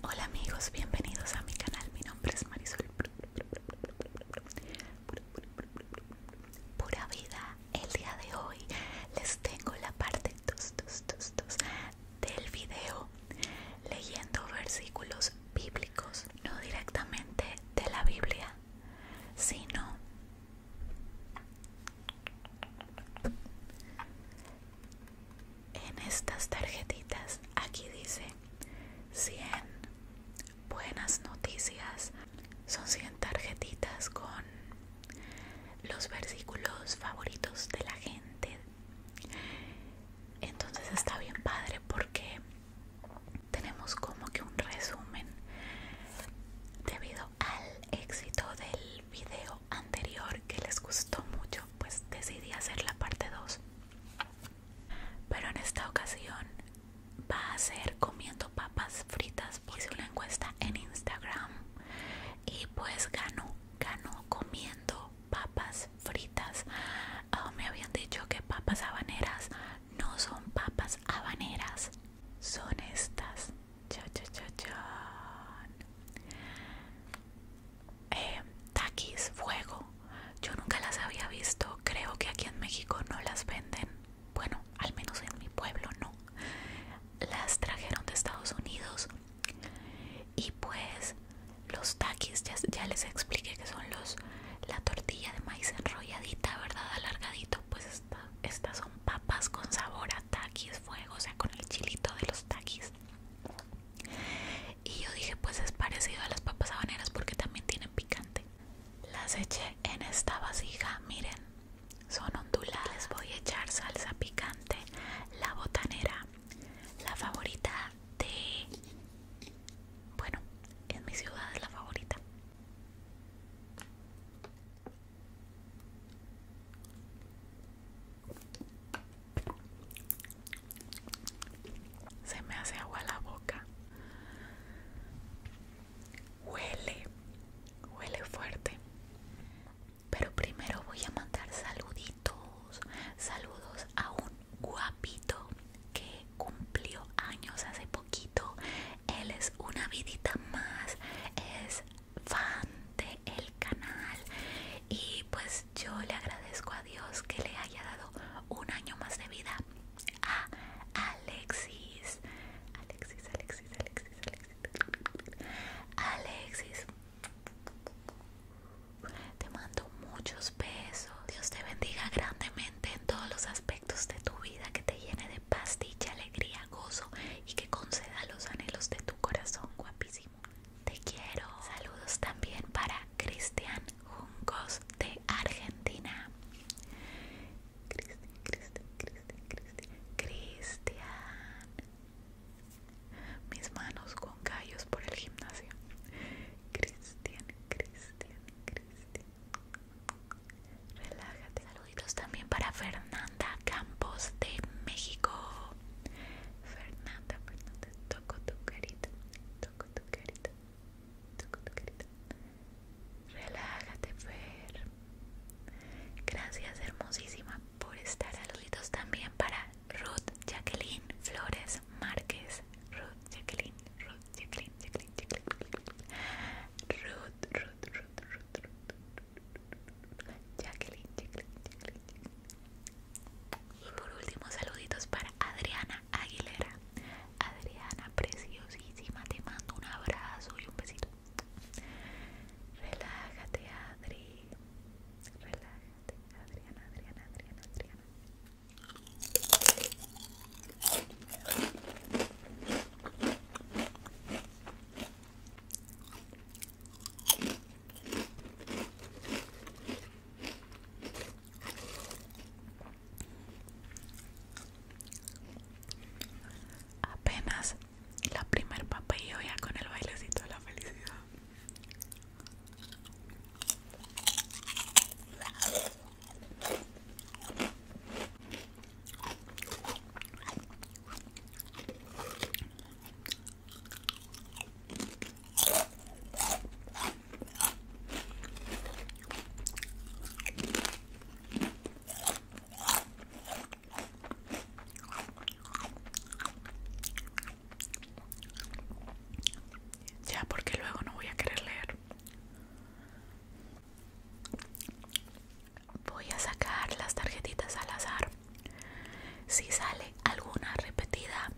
Hola amigos, bienvenidos a mi canal. Mi nombre es Marisol. Pura vida. El día de hoy les tengo la parte 2 2 del video leyendo versículos bíblicos, no directamente de la Biblia, sino en estas tarjetitas aquí dice 100 buenas noticias. Son 100 tarjetitas con los versículos favoritos de la gente. Entonces está bien padre porque tenemos como que un resumen debido al éxito del video anterior que les gustó mucho, pues decidí hacer la parte 2. Pero en esta ocasión va a ser comiendo papas fritas. Hice una encuesta en Instagram y pues ganó, ganó comiendo papas fritas. Ah, me habían dicho que papas habaneras no son papas habaneras, son estas Cha, cha, cha, em, taquis, fuego. Yo nunca las había visto. Creo que aquí en México no las venden. Bueno, al menos en mi pueblo no. Las trajeron de Estados Unidos. Y pues los taquis, ya, les expliqué que son los la tortilla de maíz enrolladita, ¿verdad? Alargadito, pues estas son papas con sabor a taquis fuego, o sea, con el chilito de los taquis. Y yo dije, pues es parecido a las papas habaneras porque también tienen picante. Las eché en esta vasija, miren, son onduladas. voy a echar salsa picante, la botanera, la favorita de... Bueno, en mi ciudad es la favorita. Se me hace agua la boca. Huele, huele fuerte. Pero primero voy a mandar saluditos. Saludos a un guapito que cumplió años hace poquito. Él es una vidita más. Es fan el canal y pues yo le agradezco a Dios que le haya dado un año más de vida a Alexis. Alexis, Alexis, Alexis, Alexis. Alexis. Te mando muchos besos. Dios te bendiga grandemente en todos los aspectos de tu vida, que te llene de paz, dicha, alegría gozo y que conceda los anhelos de tu corazón, guapísimo. Te quiero. Saludos también para Cristian Juncos de Argentina. Cristian, Cristian, Cristian, Cristian. Cristian. Mis manos con callos por el gimnasio. Cristian, Cristian, Cristian. Relájate. Saluditos también para Fernanda Campos de México. Fernanda, Fernanda, toco tu carita, toco tu carita, toco tu carita. Relájate, Fer. Gracias, hermosísima, por estar. Saluditos también para Ruth Jacqueline Flores Márquez. Ruth Jacqueline, Ruth Jacqueline, Jacqueline, Jacqueline. Ruth, Ruth, Ruth, Ruth, Ruth, Jacqueline, Jacqueline, Jacqueline, Y por último, saluditos para Adriana Aguilera. Adriana, preciosísima, te mando un abrazo y un besito. Relájate, Adri. Relájate, Adriana, Adriana, Adriana, Adriana. Apenas la primer yo ya con el bailecito de la felicidad. Ya, porque luego no voy a querer leer voy a sacar las tarjetitas al azar si sale alguna repetida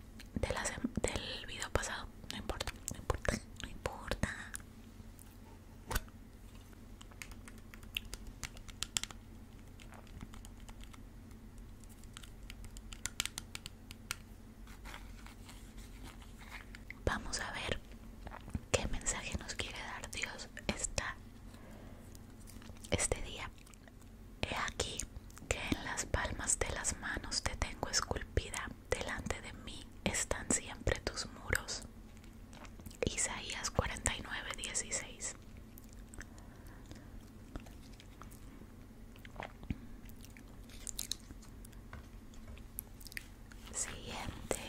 del video pasado no importa no importa no importa Vamos a ver qué mensaje nos quiere dar Dios esta este día, he aquí que en las palmas de las manos te tengo esculpida, delante de mí están siempre tus muros. Isaías 49, 16. Siguiente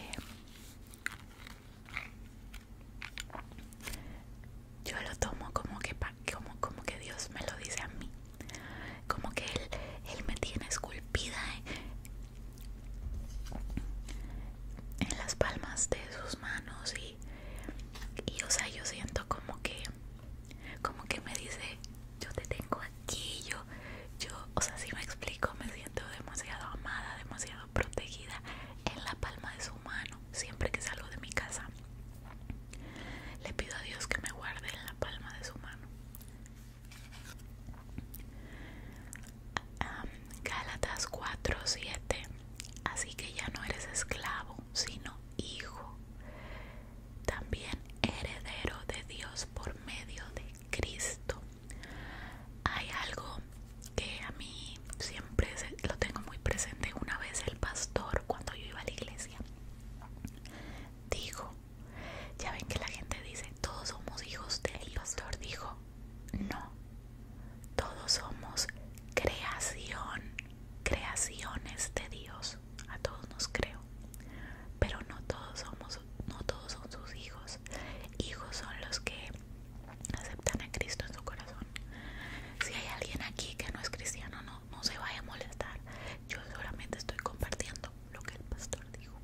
yo lo tomo como que, como, como que Dios me lo dice a mí. Como que Él, me tiene esculpida en, las palmas de sus manos. Y, o sea, yo siento como que, como que me dice, yo te tengo aquí, yo, yo, o sea, si me explico, me siento demasiado amada, demasiado protegida en la palma de su mano siempre que salgo de mi casa. Le pido a Dios que me guarde en la palma de su mano. galatas ah, Gálatas 4:7 Así que ya no eres esclavo, sino hijo. También heredero de Dios por medio de Cristo. Hay algo que a mí siempre lo tengo muy presente. Una vez el pastor, cuando yo iba a la iglesia, dijo, ya ven que la gente dice, todos somos hijos del El pastor dijo, no, todos somos creación, creaciones de Dios. A todos nos creo, pero no todos somos, no todos son sus hijos hijos. son los que aceptan a Cristo en su corazón. Si hay alguien aquí que no es cristiano, no, no se vaya a molestar. Yo solamente estoy compartiendo lo que el pastor dijo.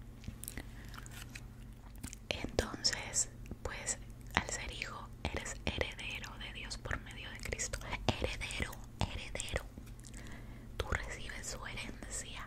Entonces, pues al ser hijo, eres heredero de Dios por medio de Cristo. Heredero, heredero. Tú recibes su herencia.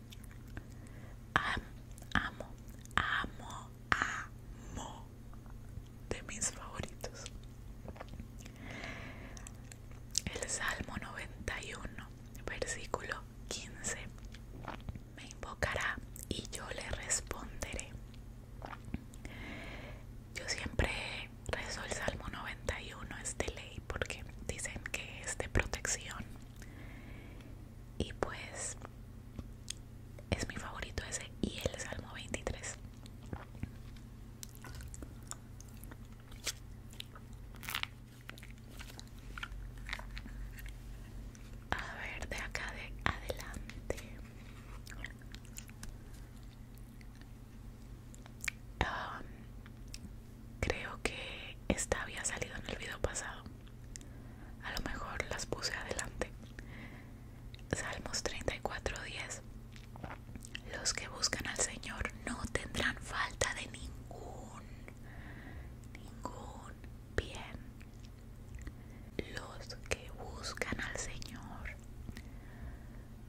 amo, amo, amo de mis favoritos. El Salmo 91, versículo 15. Me invocará y yo le responderé. Yo siempre rezo el Salmo 91, es de ley, porque dicen que es de protección y pues es mi favorito ese y el Salmo 23. A ver, de acá de adelante. Um, Creo que esta había salido en el video pasado. A lo mejor las puse adelante. Salmos 34:10. Los que buscan al Señor no tendrán falta de ningún, ningún bien. Los que buscan al Señor.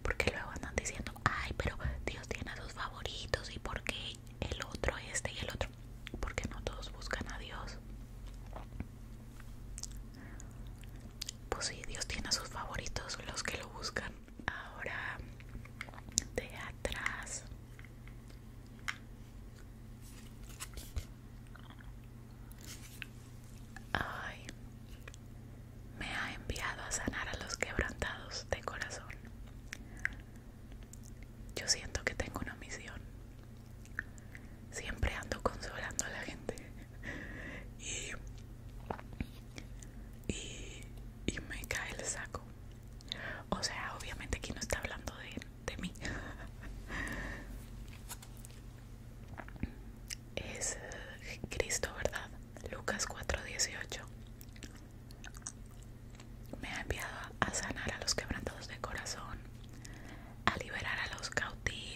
Porque luego andan diciendo, ay, pero Dios tiene a sus favoritos y por qué el otro, este y el otro. Porque no todos buscan a Dios. Pues sí, Dios tiene a sus favoritos, los que lo buscan. Ahora, de atrás. Ay, me ha enviado a sanar a los quebrantados de corazón, yo siento que tengo una misión. Siempre ando consolando a la gente. Y, y, me cae el saco. O sea, obviamente aquí no está hablando de, de mí. Es Cristo, ¿verdad? Lucas 4:18. Me ha enviado a sanar a los quebrantados de corazón, a liberar a los cautivos.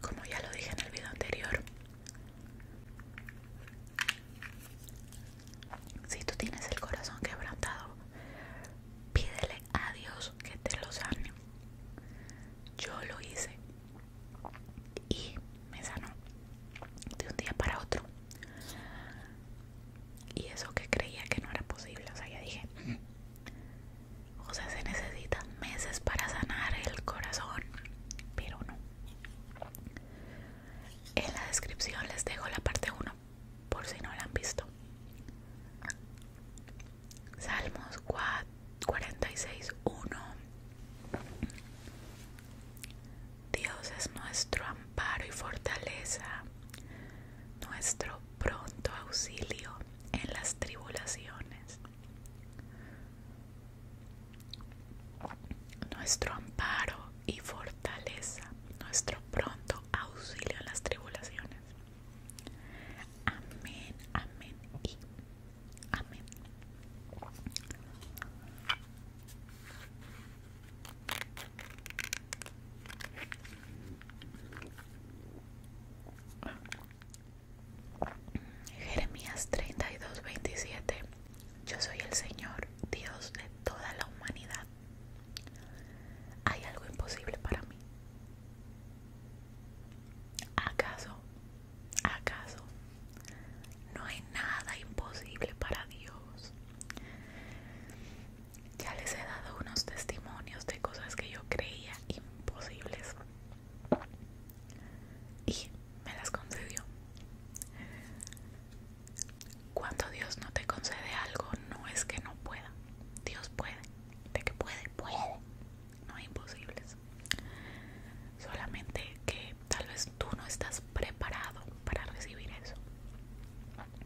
Como ya lo dije en el video anterior, si tú tienes el corazón quebrantado, pídele a Dios que te lo sane. Yo lo hice y me sanó de un día para otro. Y eso que creía que no era posible, o sea, ya dije, o sea, se necesitan meses para sanar el corazón, pero no. En la descripción les dejo la parte 1, por si no la han visto. Salmos 46, 1. Dios es nuestro amparo y fortaleza, nuestro pronto auxilio en las tribulaciones. Nuestro amparo y fortaleza, nuestro pronto auxilio en las tribulaciones. Amén, amén y amén. Jeremías 32.27 Yo soy el Señor, Dios de toda la humanidad. ¿Hay algo imposible para mí? ¿Acaso? ¿Acaso? No hay nada imposible para Dios ya les he dado unos testimonios de cosas que yo creía imposibles y me las concedió. Cuando Dios no te concede algo, no es que no pueda. Dios puede. De que puede, puede. No hay imposibles. Solamente que tal vez tú no estás preparado para recibir eso.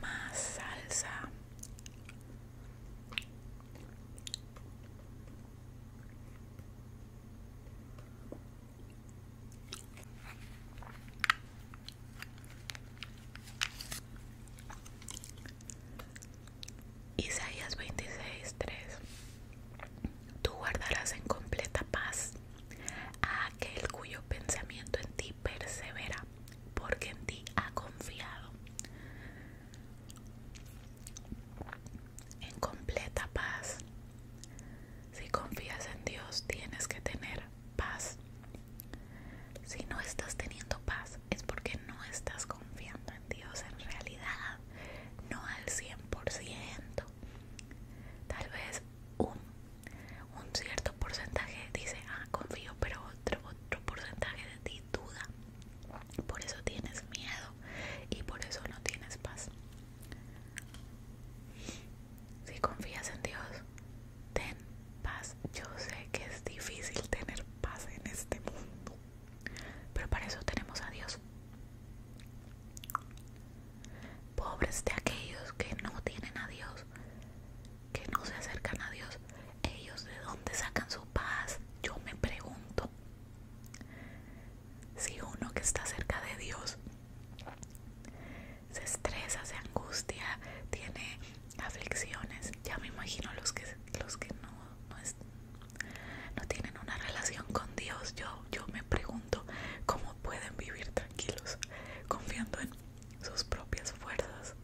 Más salsa. Isaías 3 Tú guardarás en completa paz a aquel cuyo pensamiento en ti persevera, porque en ti ha confiado. En completa paz. Si confías en Dios, tienes que tener paz. Si no estás teniendo paz es porque no estás confiando en Dios en realidad, no al 100%. Tal vez un, cierto porcentaje dice, ah, confío, pero otro, otro porcentaje de ti duda. Por eso tienes miedo y por eso no tienes paz. Si confías en Dios, ten paz. Yo sé que es difícil tener paz en este mundo, pero para eso tenemos a Dios. Pobres de aquellos que no tienen a Dios, que no se acercan a Dios, ellos de dónde sacan su paz, yo me pregunto. Si uno que está cerca de Dios se estresa, se angustia, tiene aflicciones. Ya me imagino los que los que no no, tienen una relación con Dios. Yo yo me pregunto cómo pueden vivir tranquilos confiando en sus propias fuerzas,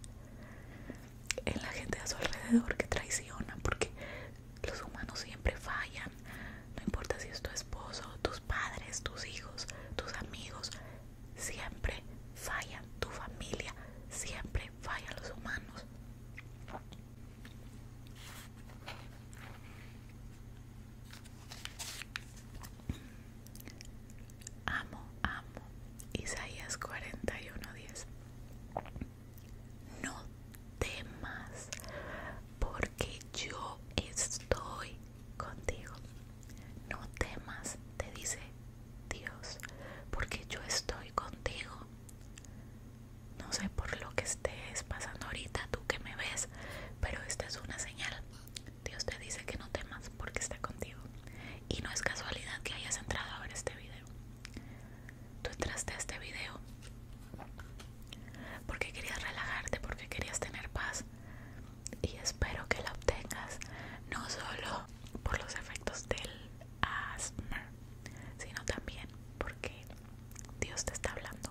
en la gente a su alrededor que traiciona, porque los humanos siempre fallan. No importa si es tu esposo, tus padres, tus hijos, tus amigos, siempre falla tu familia, siempre falla los humanos. Amo, amo. Isaías 41:10. No temas, porque yo estoy contigo. No temas, te dice Dios, porque yo estoy contigo. No sé por lo que estés pasando ahorita, tú que me ves, pero esta es una señal. Dios te dice que no temas porque está contigo. Y no es casualidad que hayas entrado a ver este video. Tú entraste a este video porque querías relajarte, porque querías tener paz, y espero que la obtengas no solo por los efectos del asma, sino también porque Dios te está hablando.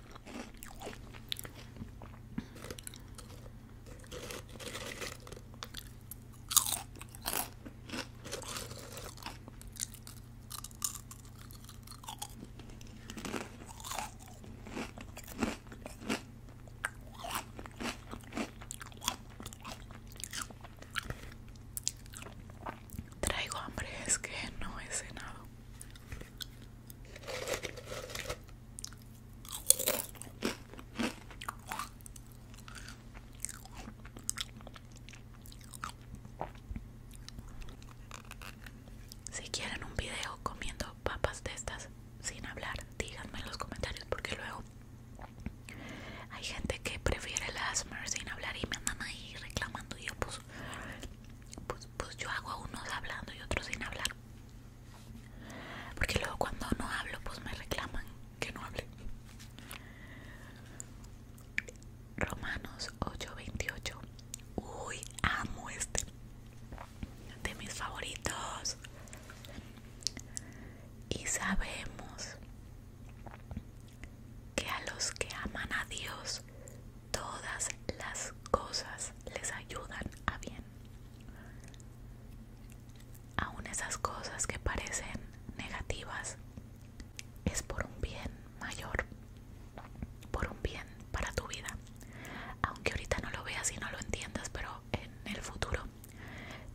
Traigo hambre, es que no he cenado. Si quieren un video comiendo papas de estas sin hablar, díganme en los comentarios porque luego hay gente que prefiere el sin hablar y me andan ahí reclamando y yo puso pues, pues yo hago unos hablando y otros sin hablar porque luego cuando no hablo pues me reclaman que no hable Romanos 8:28 uy amo este de mis favoritos y sabemos que a los que aman a Dios todas las cosas les ayudan a bien. Aun esas cosas que parecen negativas, es por un bien mayor, por un bien para tu vida. Aunque ahorita no lo veas y no lo entiendas, pero en el futuro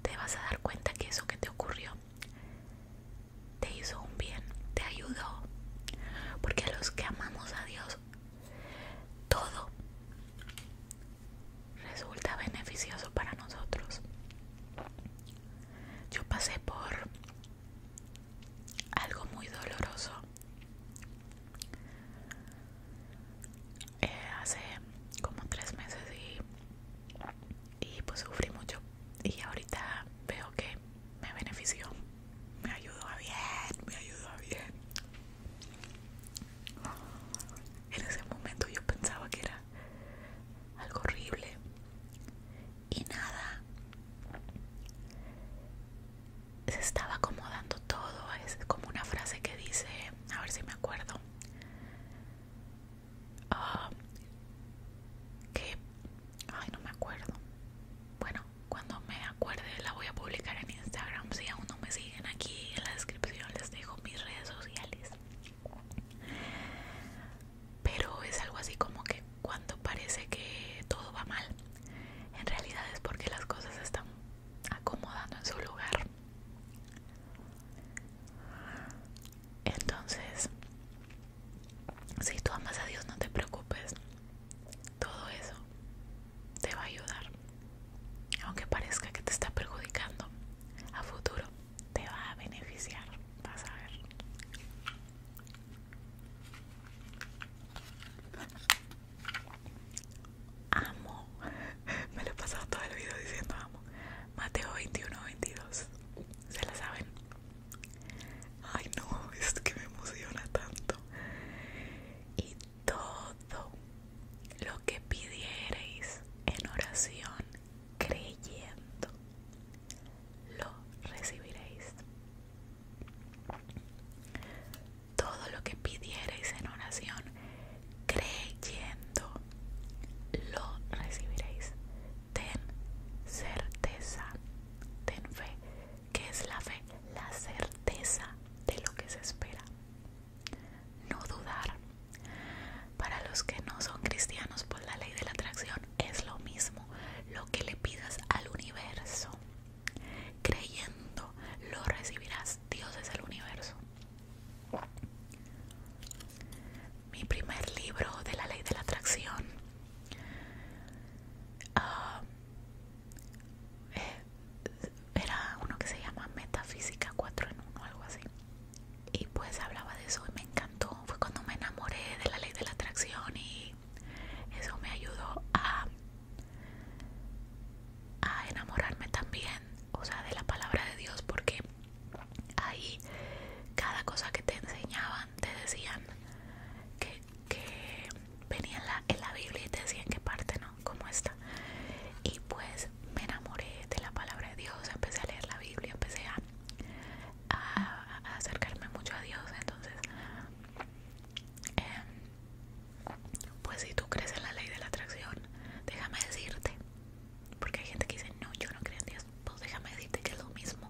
te vas a dar cuenta que eso que te ocurrió te hizo un bien, te ayudó. Porque los que amamos a Dios, todo resulta beneficioso para nosotros. Yo pasé por algo muy doloroso eh, hace como tres meses y, y pues sufrí mucho y ahorita veo que me benefició, me ayudó a bien, me ayudó a bien. En ese momento yo pensaba que era algo horrible y nada. Se estaba acomodando todo, es como una frase que dice, a ver si me acuerdo, ah, que, ay no me acuerdo, bueno, cuando me acuerde la voy a publicar en Instagram. Si aún no me siguen aquí en la descripción les dejo mis redes sociales. Pero es algo así como que cuando parece que todo va mal, en realidad es porque las cosas se están acomodando en su lugar. Entonces, si tú amas a Dios, no te preocupes. Todo eso te va a ayudar. Aunque parezca que te está perjudicando, a futuro te va a beneficiar. Vas a ver. Amo. Me lo he pasado todo el video diciendo amo. Mateo 21, 22. Se la saben. Ay no, es que me emociona tanto. Y todo lo que pidiereis en oración creyendo, lo recibiréis. Todo lo que pidierais en oración creyendo, lo recibiréis ten certeza, ten fe. ¿Qué es la fe? La certeza de lo que se espera. No dudar. Para los que no son cristianos, por pues la ley de la atracción es lo mismo. Lo que le pidas al universo, creyendo, lo recibirás. Dios es el universo. Mi primer libro de la ley de la atracción Ah, eh, era uno que se llama Metafísica 4 en 1, algo así. Y pues hablaba de eso y me encantó. Fue cuando me enamoré de la ley de la atracción y eso me ayudó a, a enamorarme también, o sea, de la palabra de Dios, porque ahí cada cosa que te enseñaba te decían que, que venía en la, Biblia y te decían qué parte, ¿no? Como esta. Y pues me enamoré de la palabra de Dios, empecé a leer la Biblia, empecé a, acercarme mucho a Dios. Entonces, em, pues si tú crees en la ley de la atracción, déjame decirte, porque hay gente que dice, no, yo no creo en Dios, pues déjame decirte que es lo mismo.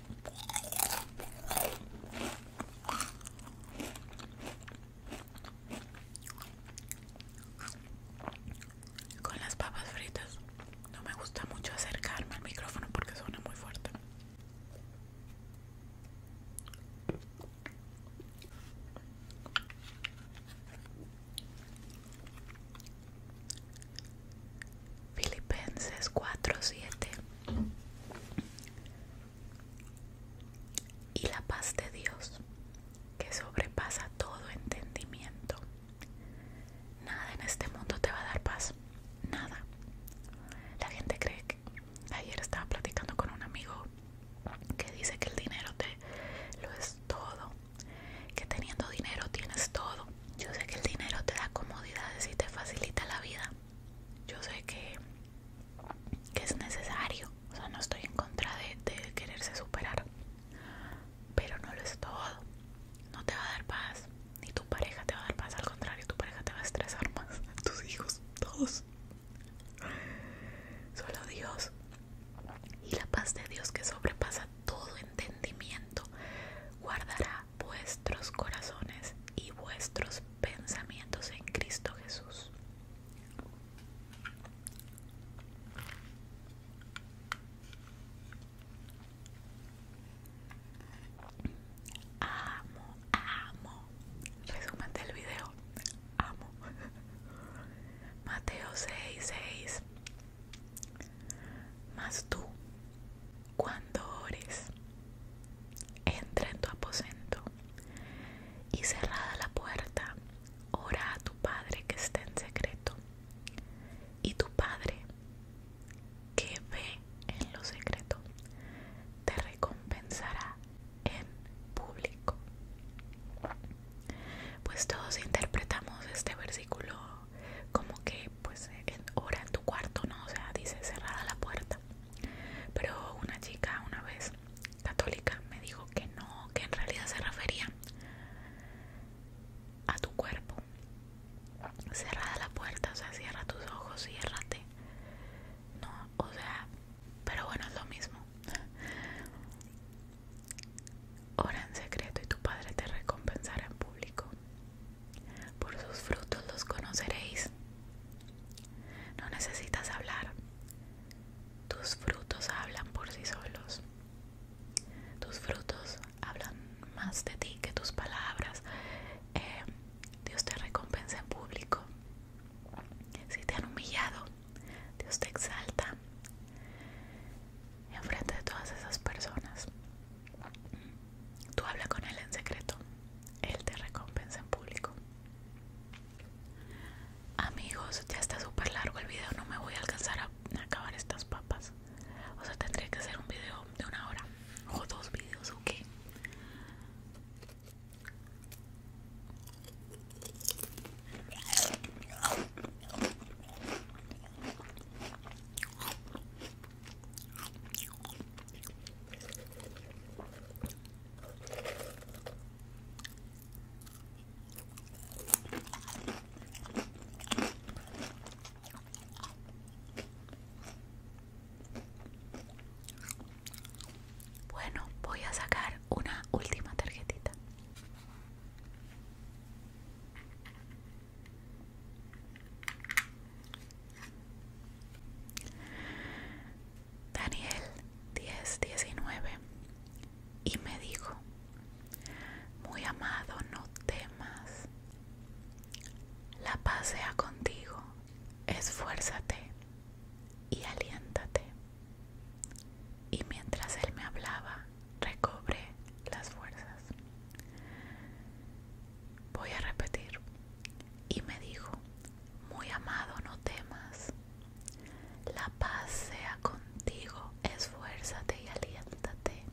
Con las papas fritas no me gusta mucho acercarme al micrófono porque suena muy fuerte. Filipenses 4:7 Y la paz de Dios, que sobrepasa todo entendimiento. Nada en este mundo te va a dar paz, nada. La gente cree que ayer estaba platicando con un amigo que dice que el dinero te lo es todo, que teniendo dinero tienes todo, yo sé que el dinero te da comodidades y te facilita la vida. Yo sé que, es necesario. O sea, no estoy en contra de, de quererse superar. Pero no lo es todo. No te va a dar paz. Ni tu pareja te va a dar paz. Al contrario, tu pareja te va a estresar más. Tus hijos, todos. Solo Dios. Y la paz de Dios que sobrepasa todo entendimiento guardará vuestros corazones y vuestros pensamientos en Cristo Jesús. Amo, amo. Resumen el video. Amo. Mateo 6:6. más más tú, cuando ores, entra en tu aposento y cerrada la puerta, ora a tu Padre que está en secreto. Y tu Padre que ve en lo secreto, te recompensará en público. Pues todos interpretamos este versículo como que pues ora en tu cuarto, ¿no? O sea, dice cerrada la puerta. Pero una chica una vez católica me dijo que no, que en realidad se refería a tu cuerpo. Cerrada la puerta, o sea, cierra tus ojos, ciérrate. No, o sea, pero bueno, es lo mismo. Ora en secreto y tu padre te recompensará en público. Por sus frutos los conoceréis. No necesitas hablar. Tus frutos hablan por sí solos. Tus frutos hablan más de ti que tus palabras. Eh, Dios te recompensa en público. Si te han humillado, Dios te exalta en frente de todas esas personas. Tú habla con él en secreto, él te recompensa en público. Amigos, ya está súper largo el video, no me voy a alcanzar a acabar estas papas. O sea, tendría que hacer un video de una hora o dos videos, qué? Bueno, voy a sacar una última tarjetita. Daniel 19 Y me dijo, muy amado, no temas, la paz sea contigo, esfuérzate y aliéntate. Y mientras él me hablaba, recobré las fuerzas. Voy a repetir. Y me dijo, muy amado, no temas. La paz sea contigo, esfuérzate y aliéntate.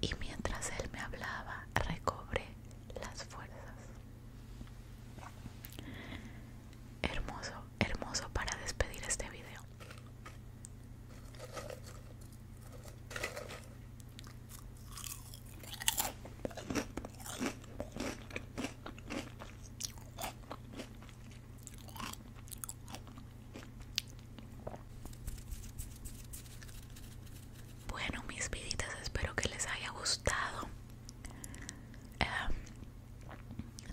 Y mientras él me hablaba, recobré las fuerzas. Hermoso, hermoso para despedir este video. Bueno, mis viditas, espero que les haya gustado. Em,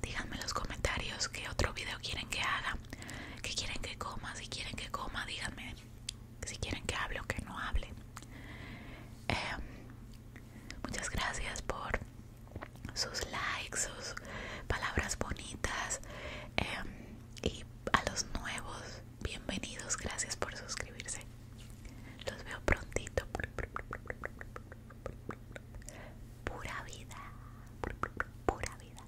díganme en los comentarios qué otro video quieren que haga. ¿Qué quieren que coma? Si quieren que coma, díganme. Si quieren que hable o que no hable. Em, muchas gracias por sus likes, sus palabras bonitas. Em, y a los nuevos, bienvenidos. Gracias por suscribirse. Los veo prontito. Pura vida. Pura vida.